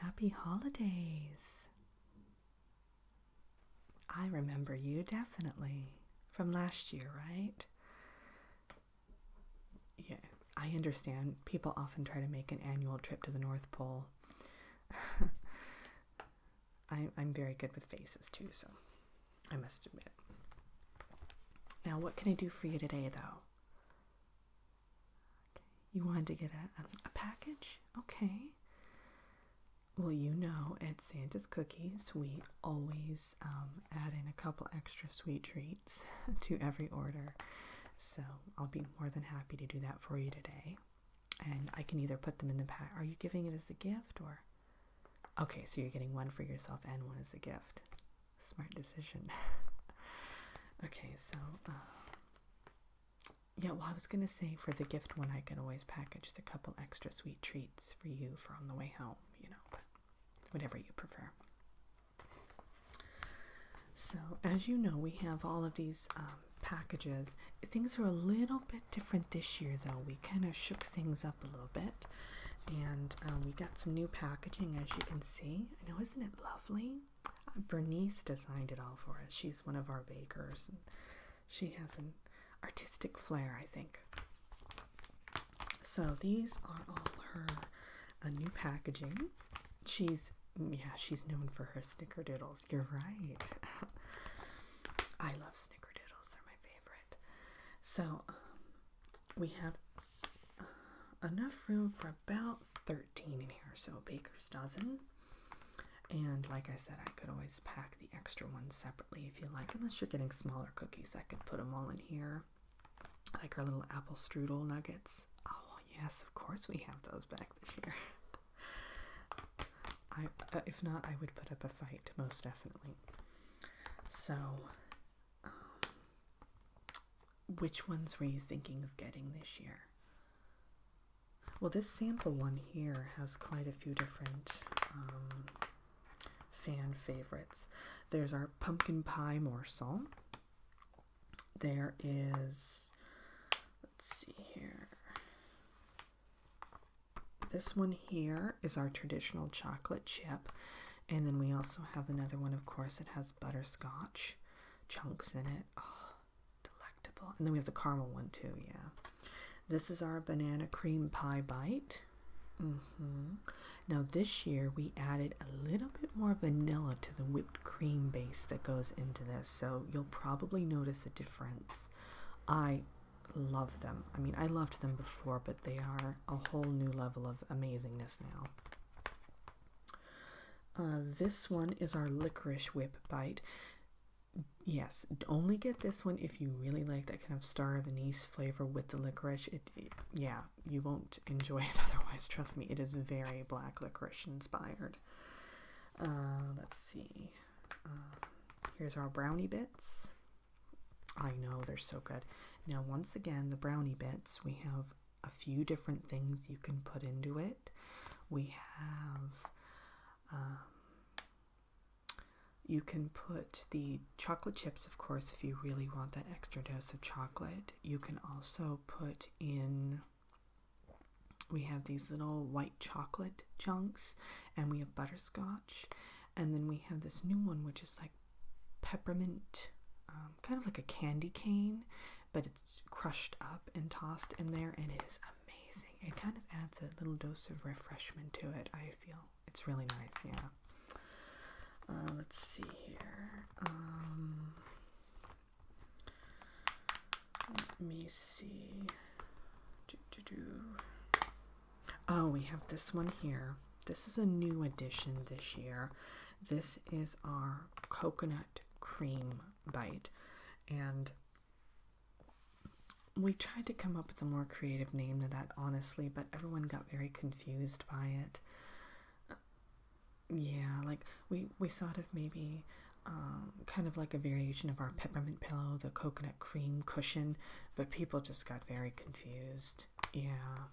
Happy holidays! I remember you definitely from last year, right? Yeah, I understand. People often try to make an annual trip to the North Pole. I, am very good with faces too, so I must admit. Now, what can I do for you today, though? You wanted to get a, package? Okay. Well, you know, at Santa's Cookies, we always um, add in a couple extra sweet treats to every order. So I'll be more than happy to do that for you today. And I can either put them in the pack. Are you giving it as a gift or? Okay, so you're getting one for yourself and one as a gift. Smart decision. okay, so uh, yeah, well, I was gonna say for the gift one, I could always package the couple extra sweet treats for you for on the way home, you know, but whatever you prefer. So, as you know, we have all of these um, packages. Things are a little bit different this year, though. We kind of shook things up a little bit, and um, we got some new packaging, as you can see. I know, isn't it lovely? Uh, Bernice designed it all for us. She's one of our bakers, she has an artistic flair, I think. So these are all her uh, new packaging. She's mm, yeah, she's known for her snickerdoodles. You're right. I love snickerdoodles. They're my favorite. So um, we have uh, enough room for about 13 in here, so a baker's dozen. And like I said, I could always pack the extra ones separately if you like, unless you're getting smaller cookies. I could put them all in here, like our little apple strudel nuggets. Oh, yes, of course we have those back this year. I, uh, if not, I would put up a fight, most definitely. So, um, which ones were you thinking of getting this year? Well, this sample one here has quite a few different um, fan favorites. There's our pumpkin pie morsel. There is, let's see here, this one here is our traditional chocolate chip. And then we also have another one, of course, it has butterscotch chunks in it. Ah, delectable. And then we have the caramel one too, yeah. This is our banana cream pie bite. Mm-hmm. Now this year we added a little bit more vanilla to the whipped cream base that goes into this, so you'll probably notice a difference. I love them. I mean, I loved them before, but they are a whole new level of amazingness now. Uh, this one is our Licorice Whip Bite. Yes, only get this one if you really like that kind of star of anise flavor with the licorice. It, yeah, you won't enjoy it otherwise. Trust me, it is very black licorice inspired. Uh, let's see. Uh, here's our brownie bits. I know they're so good. Now, once again, the brownie bits, we have a few different things you can put into it. We have, um, you can put the chocolate chips, of course, if you really want that extra dose of chocolate. You can also put in, we have these little white chocolate chunks, and we have butterscotch. And then we have this new one, which is like peppermint, um, kind of like a candy cane, but it's crushed up and tossed in there, and it is amazing. It kind of adds a little dose of refreshment to it, I feel. It's really nice, yeah. Uh, let's see here. Um, let me see. Do, do, do. Oh, we have this one here. This is a new addition this year. This is our coconut cream bite. And we tried to come up with a more creative name than that, honestly, but everyone got very confused by it. Yeah, like we, we thought of maybe um, kind of like a variation of our peppermint pillow, the coconut cream cushion, but people just got very confused. Yeah.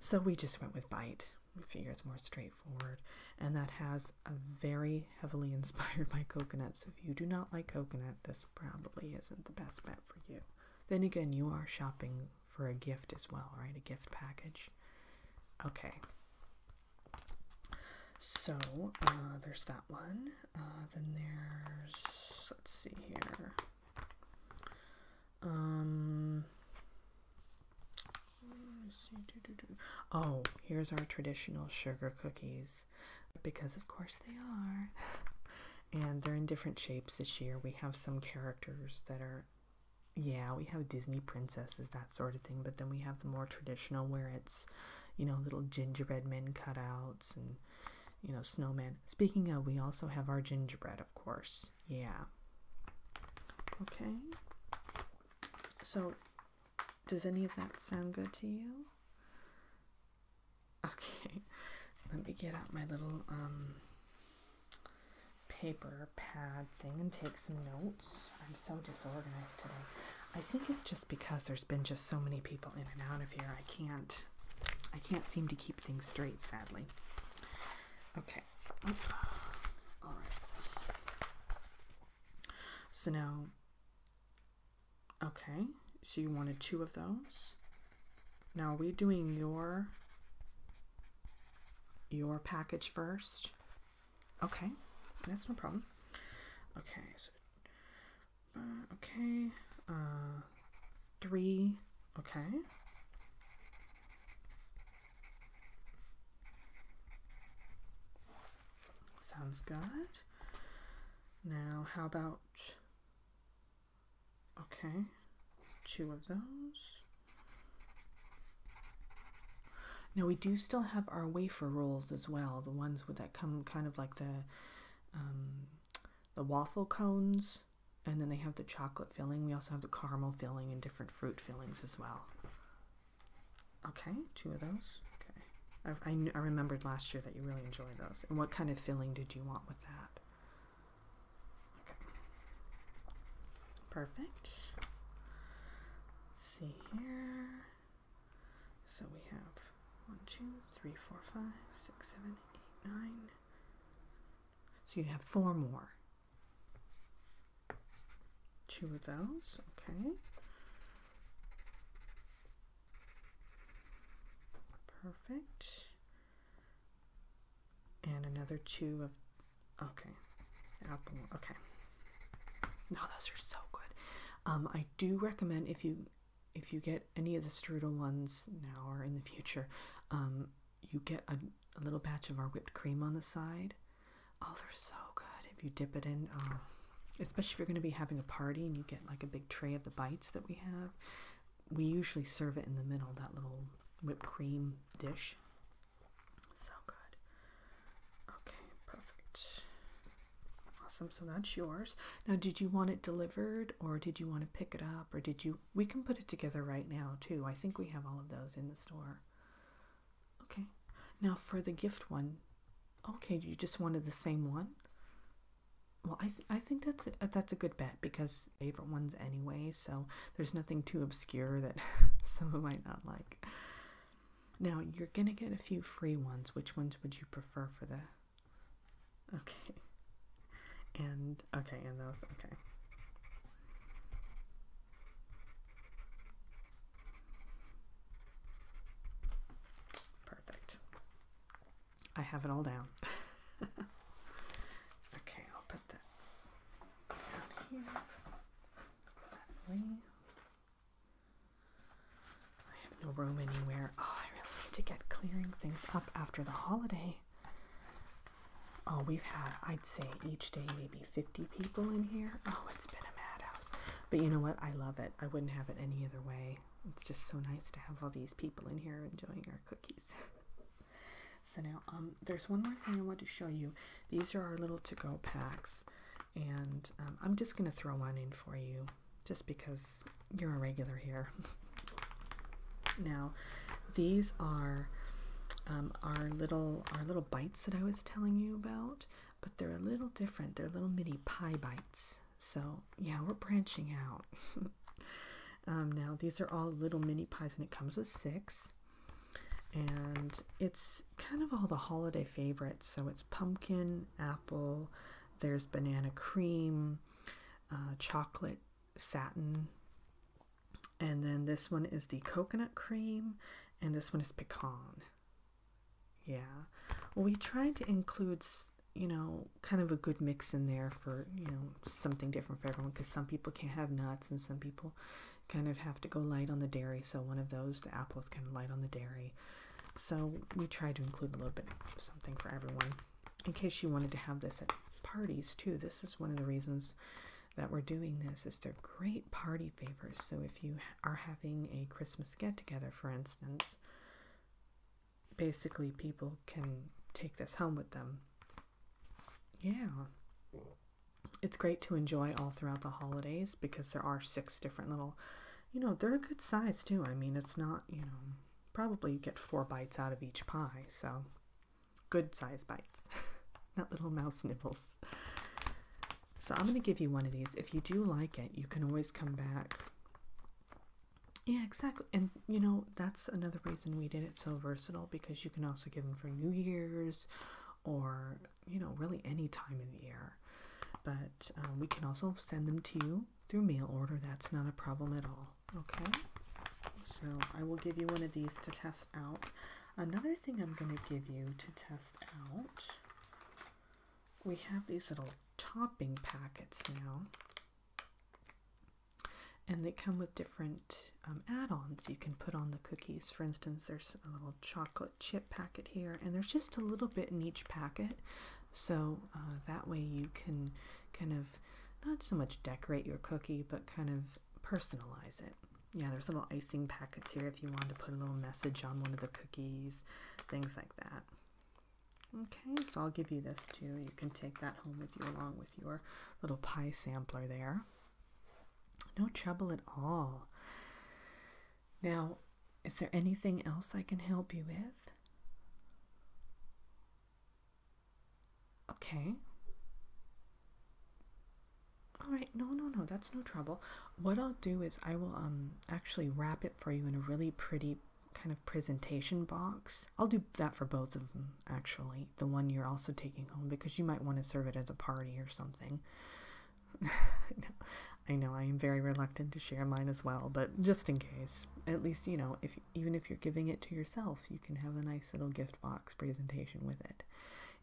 So we just went with Bite. We figure it's more straightforward. And that has a very heavily inspired by coconut. So if you do not like coconut, this probably isn't the best bet for you. Then again, you are shopping for a gift as well, right? A gift package. Okay. So uh, there's that one. Uh, then there's, let's see here. Um, Oh, here's our traditional sugar cookies because, of course, they are. And they're in different shapes this year. We have some characters that are, yeah, we have Disney princesses, that sort of thing. But then we have the more traditional where it's, you know, little gingerbread men cutouts and you know, snowman. Speaking of, we also have our gingerbread, of course. Yeah. Okay. So, does any of that sound good to you? Okay. Let me get out my little um, paper pad thing and take some notes. I'm so disorganized today. I think it's just because there's been just so many people in and out of here. I can't I can't seem to keep things straight, sadly. Okay. All right. So now, okay, so you wanted two of those. Now, are we doing your your package first? Okay, that's no problem. Okay, so uh, okay. Uh, three. Okay. Sounds good. Now, how about... Okay. Two of those. Now we do still have our wafer rolls as well, the ones with that come kind of like the um, the waffle cones and then they have the chocolate filling. We also have the caramel filling and different fruit fillings as well. Okay, two of those. Okay, I, I, remembered last year that you really enjoy those. And what kind of filling did you want with that? perfect. see here. So we have one, two, three, four, five, six, seven, eight, nine. So you have four more. Two of those, okay. Perfect. And another two of, okay, apple, okay. No, those are so good. Um, I do recommend if you if you get any of the strudel ones now or in the future, um, you get a, little batch of our whipped cream on the side. Oh, they're so good. If you dip it in, um, especially if you're going to be having a party and you get like a big tray of the bites that we have, we usually serve it in the middle, that little whipped cream dish. So good. Okay, perfect. Awesome. So that's yours. Now, did you want it delivered or did you want to pick it up or did you we can put it together right now too. I think we have all of those in the store. Okay. Now for the gift one. Okay, you just wanted the same one? Well, I, I think that's that's a good bet because favorite ones anyway, so there's nothing too obscure that someone might not like. Now, you're going to get a few free ones. Which ones would you prefer for the Okay. And okay, and those okay. Perfect. I have it all down. okay, I'll put that down here. I have no room anywhere. Oh, I really need to get clearing things up after the holiday. Oh, we've had, I'd say each day maybe 50 people in here. Oh, it's been a madhouse. But you know what? I love it. I wouldn't have it any other way. It's just so nice to have all these people in here enjoying our cookies. so now, um, there's one more thing I want to show you. These are our little to-go packs. And um, I'm just going to throw one in for you just because you're a regular here. now, these are um, our little our little bites that I was telling you about, but they're a little different. They're little mini pie bites. So yeah, we're branching out. um, now these are all little mini pies, and it comes with six. And it's kind of all the holiday favorites. So it's pumpkin, apple, there's banana cream, uh, chocolate satin. And then this one is the coconut cream, and this one is pecan. Yeah. We tried to include, you know, kind of a good mix in there for, you know, something different for everyone because some people can't have nuts and some people kind of have to go light on the dairy. So one of those, the apple is kind of light on the dairy. So we tried to include a little bit something for everyone in case you wanted to have this at parties too, this is one of the reasons that we're doing this is they're great party favors. So if you are having a Christmas get together, for instance, basically people can take this home with them. Yeah. It's great to enjoy all throughout the holidays because there are six different little, you know, they're a good size too. I mean, it's not, you know, probably you get four bites out of each pie. So good size bites, not little mouse nibbles. So I'm going to give you one of these. If you do like it, you can always come back. Yeah, exactly. And you know, that's another reason we did it so versatile because you can also give them for New Year's or, you know, really any time of the year. But um, we can also send them to you through mail order. That's not a problem at all. Okay, so I will give you one of these to test out. Another thing I'm going to give you to test out, we have these little topping packets now. And they come with different um, add-ons you can put on the cookies. For instance, there's a little chocolate chip packet here, and there's just a little bit in each packet. So uh, that way you can kind of not so much decorate your cookie, but kind of personalize it. Yeah, there's little icing packets here if you want to put a little message on one of the cookies, things like that. Okay, so I'll give you this too. You can take that home with you along with your little pie sampler there. No trouble at all. Now, is there anything else I can help you with? Okay. All right, no, no, no, that's no trouble. What I'll do is I will um actually wrap it for you in a really pretty kind of presentation box. I'll do that for both of them actually. The one you're also taking home because you might want to serve it at a party or something. no, I know I am very reluctant to share mine as well, but just in case, at least you know if even if you're giving it to yourself you can have a nice little gift box presentation with it.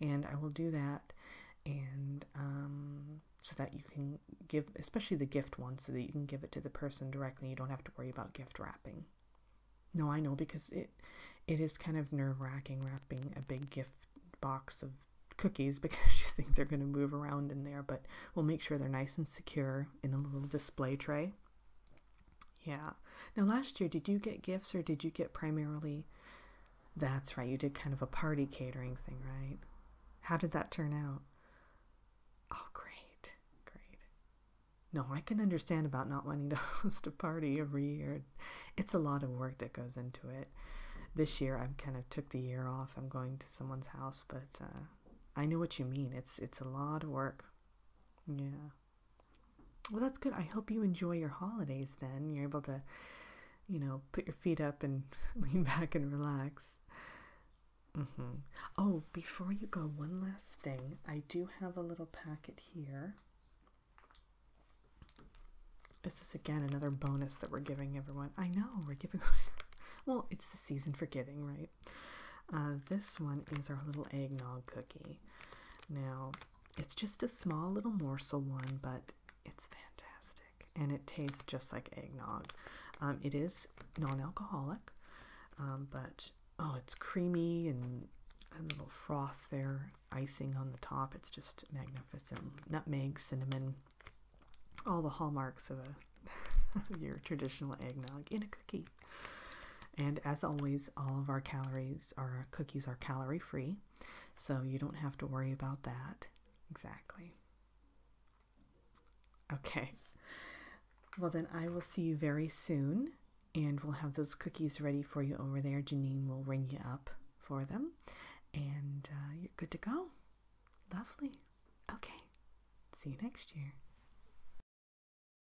And I will do that and um, so that you can give, especially the gift one, so that you can give it to the person directly. You don't have to worry about gift wrapping. No, I know because it it is kind of nerve wracking wrapping a big gift box of cookies because you think they're going to move around in there, but we'll make sure they're nice and secure in a little display tray. Yeah. Now, last year, did you get gifts or did you get primarily? That's right, you did kind of a party catering thing, right? How did that turn out? Oh, great, great. No, I can understand about not wanting to host a party every year. It's a lot of work that goes into it. This year, I kind of took the year off. I'm going to someone's house, but uh, I know what you mean. It's it's a lot of work. Yeah. Well, that's good. I hope you enjoy your holidays then. You're able to, you know, put your feet up and lean back and relax. Mm -hmm. Oh, before you go, one last thing. I do have a little packet here. This is again another bonus that we're giving everyone. I know we're giving. well, it's the season for giving, right? Uh, this one is our little eggnog cookie. Now, it's just a small little morsel one, but it's fantastic and it tastes just like eggnog. Um, it is non alcoholic, um, but oh, it's creamy and a little froth there, icing on the top. It's just magnificent. Nutmeg, cinnamon, all the hallmarks of a your traditional eggnog in a cookie. And as always, all of our calories, our cookies are calorie free, so you don't have to worry about that. Exactly. Okay. Well, then I will see you very soon, and we'll have those cookies ready for you over there. Janine will ring you up for them, and uh, you're good to go. Lovely. Okay. See you next year.